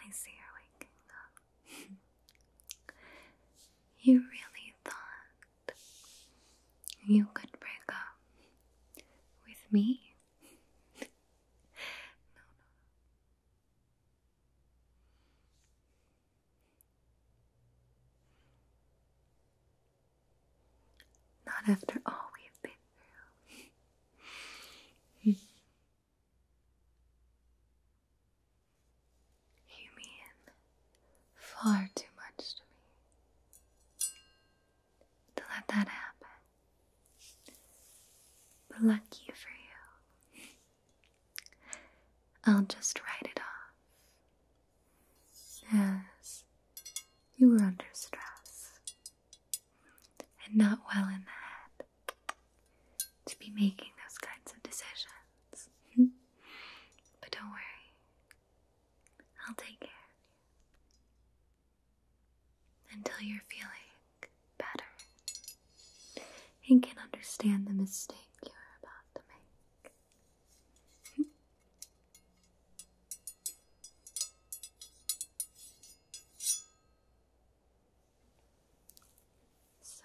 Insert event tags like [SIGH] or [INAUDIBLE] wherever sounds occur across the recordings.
I see you waking up. [LAUGHS] you really thought you could break up with me. [LAUGHS] Not after all we've been through. [LAUGHS] you mean far too much to me to let that happen. But lucky for you, I'll just write it off as you were under stress and not well in the head to be making those kinds of decisions. [LAUGHS] but don't worry, I'll take care until you're feeling better and can understand the mistake you're about to make. so.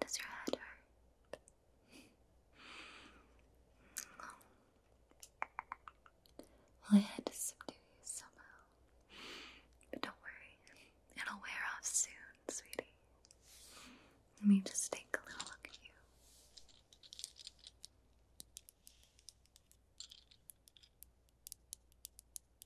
Does your head hurt? Well, I had to subdue you somehow. But don't worry, it'll wear off soon, sweetie. Let me just take a little look at you.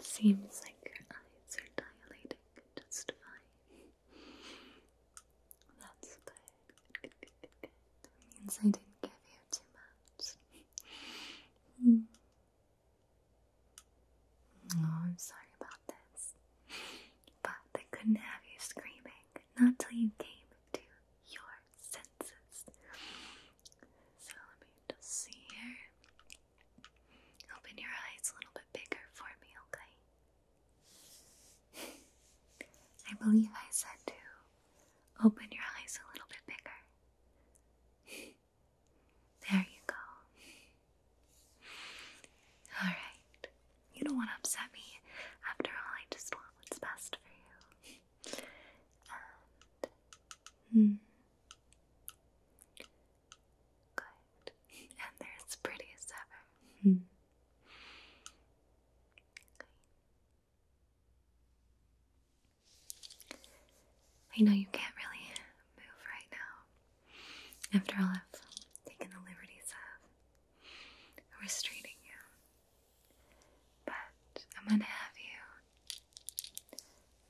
seems like your eyes are dilating just fine. That's good. That means I didn't give you too much. Oh, I'm sorry about this. But I couldn't have you screaming, not till you came to your senses. So let me just see here. Open your eyes a little bit bigger for me, okay? [LAUGHS] I believe I said to open your eyes a little bit bigger. [LAUGHS] There you go. Alright, you don't want to upset me. After all, I just want what's best for you. And. Hmm. Good. ever. Hmm. I know you can't really move right now. After all, I've taken the liberties of restraining you. But I'm gonna have you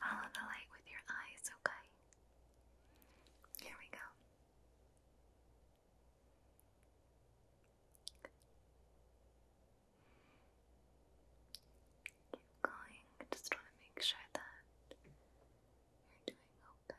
follow the light with your eyes, okay? Here we go. Keep going. just want to make sure that you're doing okay.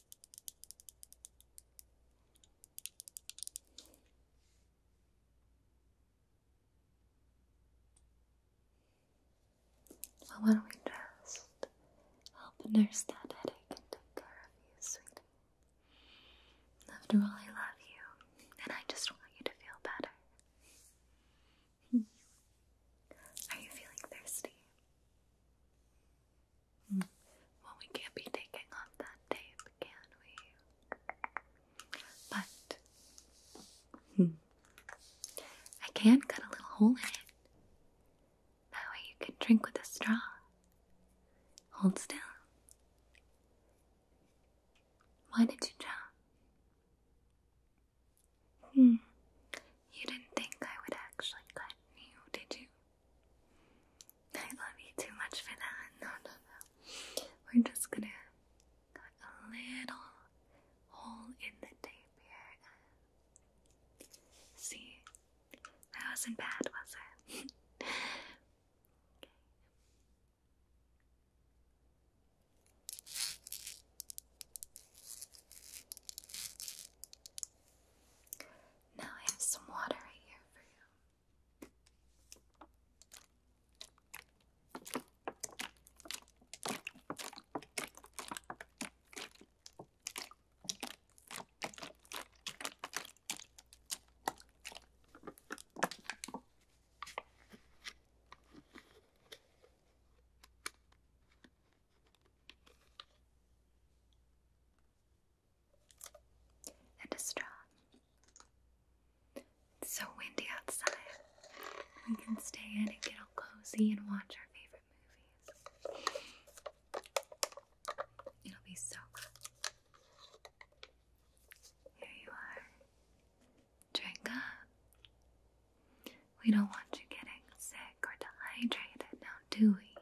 Well, why don't we just help nurse that headache and take care of you, sweetie? After all, I love you, and I just want you to feel better. [LAUGHS] Are you feeling thirsty? Well, we can't be taking off that tape, can we? But I can cut a little hole in it. That way you can drink with a straw. Hold still. Why did you jump? Hmm. You didn't think I would actually cut you, did you? [LAUGHS] I love you too much for that. [LAUGHS] No, no, no. We're just gonna cut a little hole in the tape here. [LAUGHS] See, that wasn't bad, was it? Now I have some water right here for you and a straw. so windy outside. We can stay in and get all cozy and watch our favorite movies. It'll be so good. Here you are. Drink up. We don't want you getting sick or dehydrated now, do we?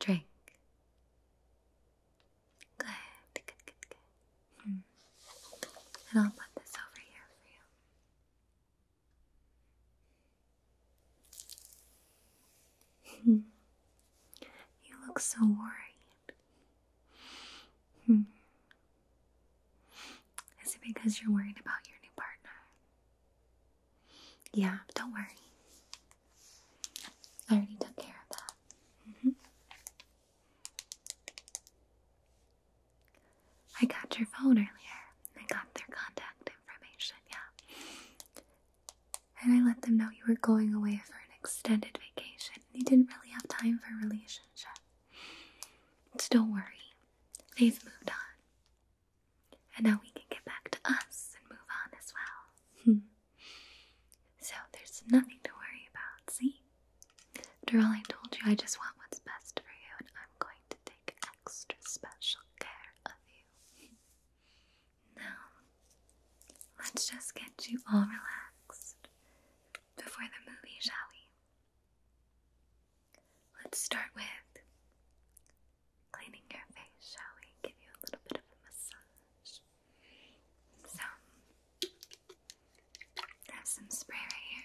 Drink. Good, good, good, good. Hmm. And I'll put this over here for you. Hmm. you look so worried. Hmm. Is it because you're worried about your new partner? Yeah, don't worry. I already took care of that. Mm-hmm. I got your phone earlier. I got their contact information, yeah. And I let them know you were going away for an extended vacation. You didn't really have time for a relationship. So don't worry, they've moved on. And now we can get back to us and move on as well. Hmm. so there's nothing to worry about, see? After all I told you, I just want what's best for you, and I'm going to take extra special care of you. Hmm. now, let's just get you all relaxed before the movie, shall we? Let's start with cleaning your face, shall we? Give you a little bit of a massage. So, have some spray right here.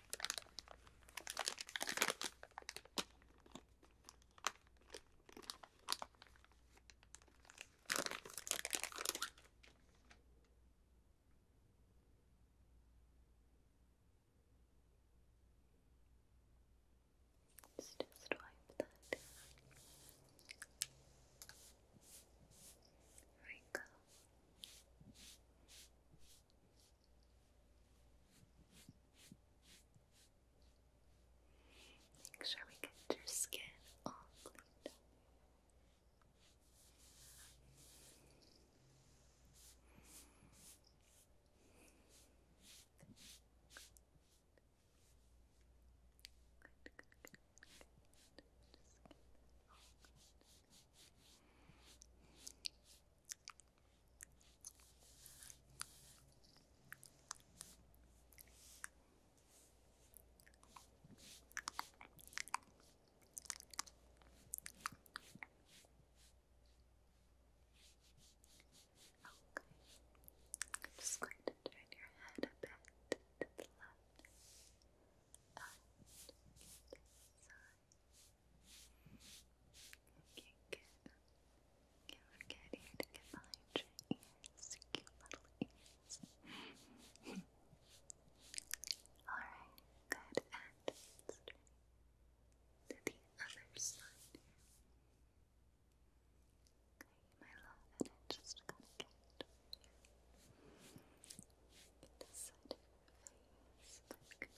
Let's just wipe that. There we go. Make sure we get your skin all cleaned I'm just going to turn your head a bit to the left and Okay, good. Okay, we're to get behind your cute little ears. Alright, good. And the other side my love, and it just kind of get over face. Good,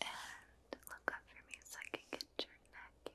And look up for me so I can get your neck here.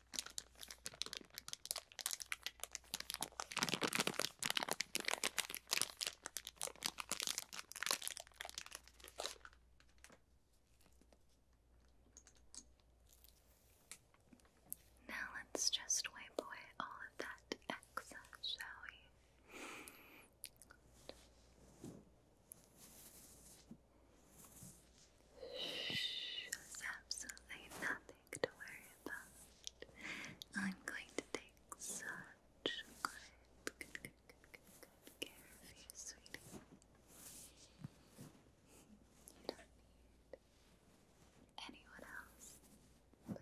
Now let's just wipe away all of that excess, shall we? There's absolutely nothing to worry about. I'm going to take such good, care of you, sweetie. You don't need anyone else but me.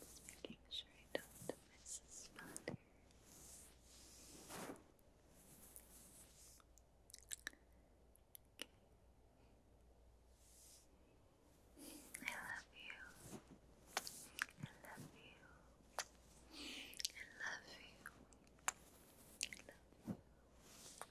Just making sure I don't miss a spot here. Okay. I love you. I love you. I love you. I love you. you.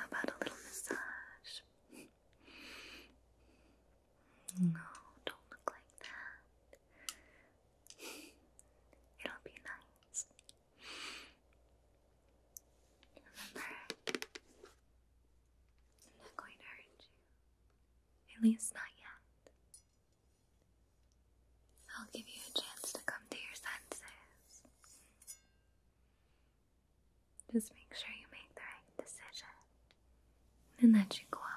How about a little massage? No, don't look like that. It'll be nice. Remember, I'm not going to hurt you. At least not yet. I'll give you a chance to come to your senses. Just make sure you make the right decision and that you cooperate,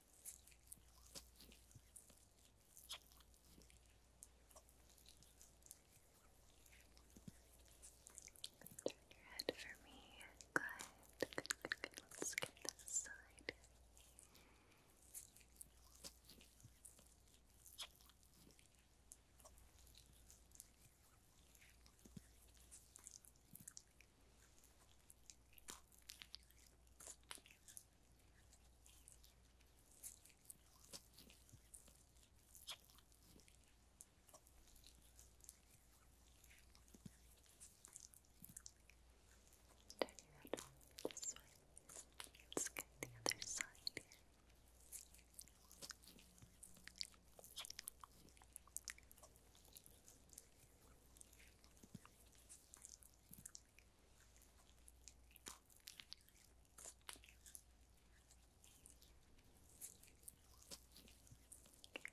Turn your head for me. Good, good, good, good. Let's get this side. Good. Turn your this way. Let's get the other side here.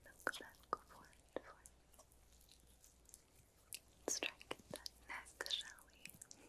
Look back, forward, forward. Let's try and get that neck, shall we?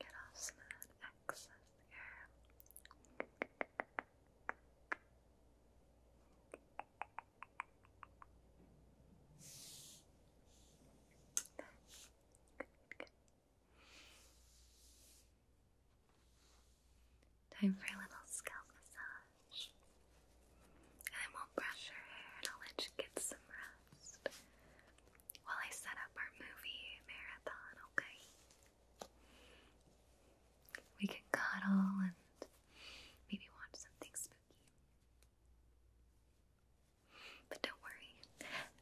Get off some of that excess air. Time for a little scalp massage. I won't brush your hair and I'll let you get some rest while I set up our movie marathon, okay? We can cuddle and maybe watch something spooky. But don't worry,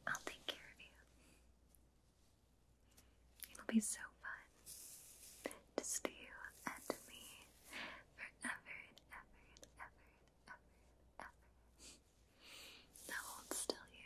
I'll take care of you. It'll be so fun. Just you and me forever and ever and ever and ever. Now one's still here.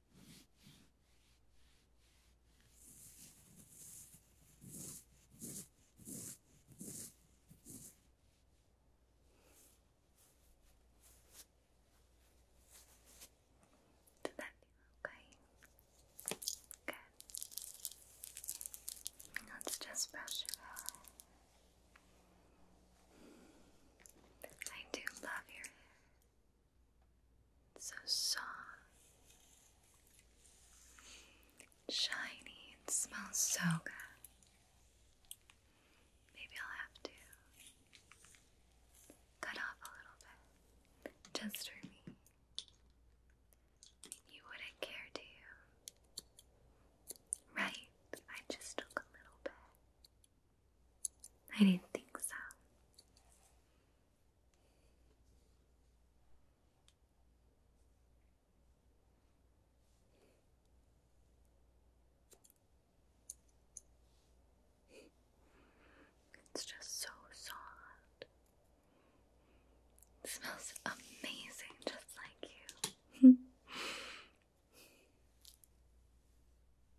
Did that feel okay? Good. Let's just brush it off. I do love your hair so soft, shiny, it smells so good. Maybe I'll have to cut off a little bit just for me. You wouldn't care, do you? Right, I just took a little bit. I didn't think so. It's just so soft. smells amazing, just like you. [LAUGHS]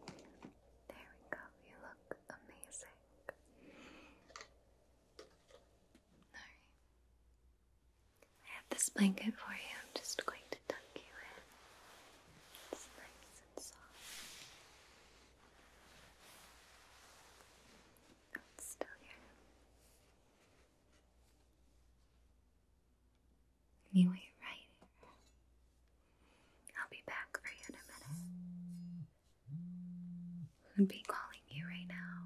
There we go, you look amazing. Alright. I have this blanket for you. I'm just going to tuck you in. It's nice and soft. It's still here. Anyway, right here. I'll be back for you in a minute. I'd be calling you right now.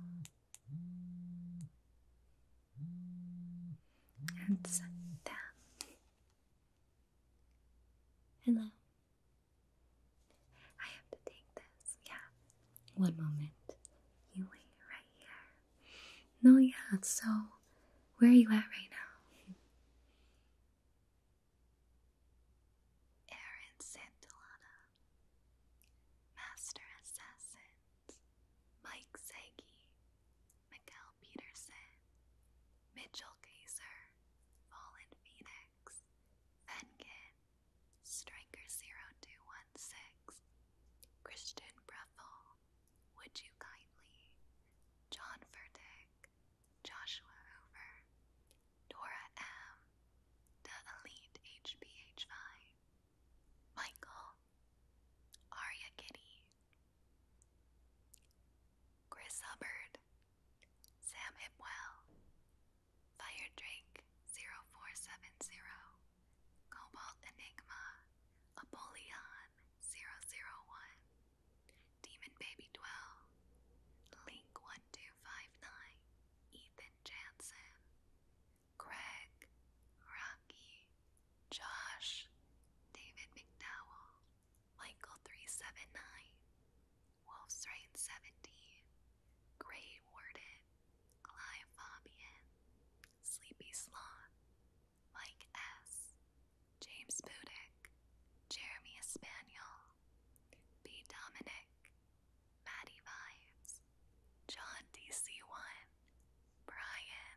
And sit Hello. I have to take this. Yeah. One moment. You wait right here. No, yeah. So, where are you at right now? Aaron Santillana, Master Assassins, Mike Sagi, Mikael Peterson, Mitchell Kaiser, Fallen Phoenix, Fenkin, Striker0216, Christian Breffel, Would You Kindly, John Furtick, Joshua Hoover, Dora M, The Elite HBH5, Michael, Aria Kitty, Chris Hubbard, Sam Hipwell, Fire Drake 0470, Cobalt Enigma, Apollyon 001, Demon Baby 12, Link 1259, Ethan Jansen, Greg, Rocky, Josh, David McDowell, Michael 379, Wolf's Rain seventy. Grey Warden, Clive Fabian, Sleepy Sloth, Mike S., James Budick, Jeremy Spaniel, B. Dominic, Maddie Vibes, John DC1, Brian.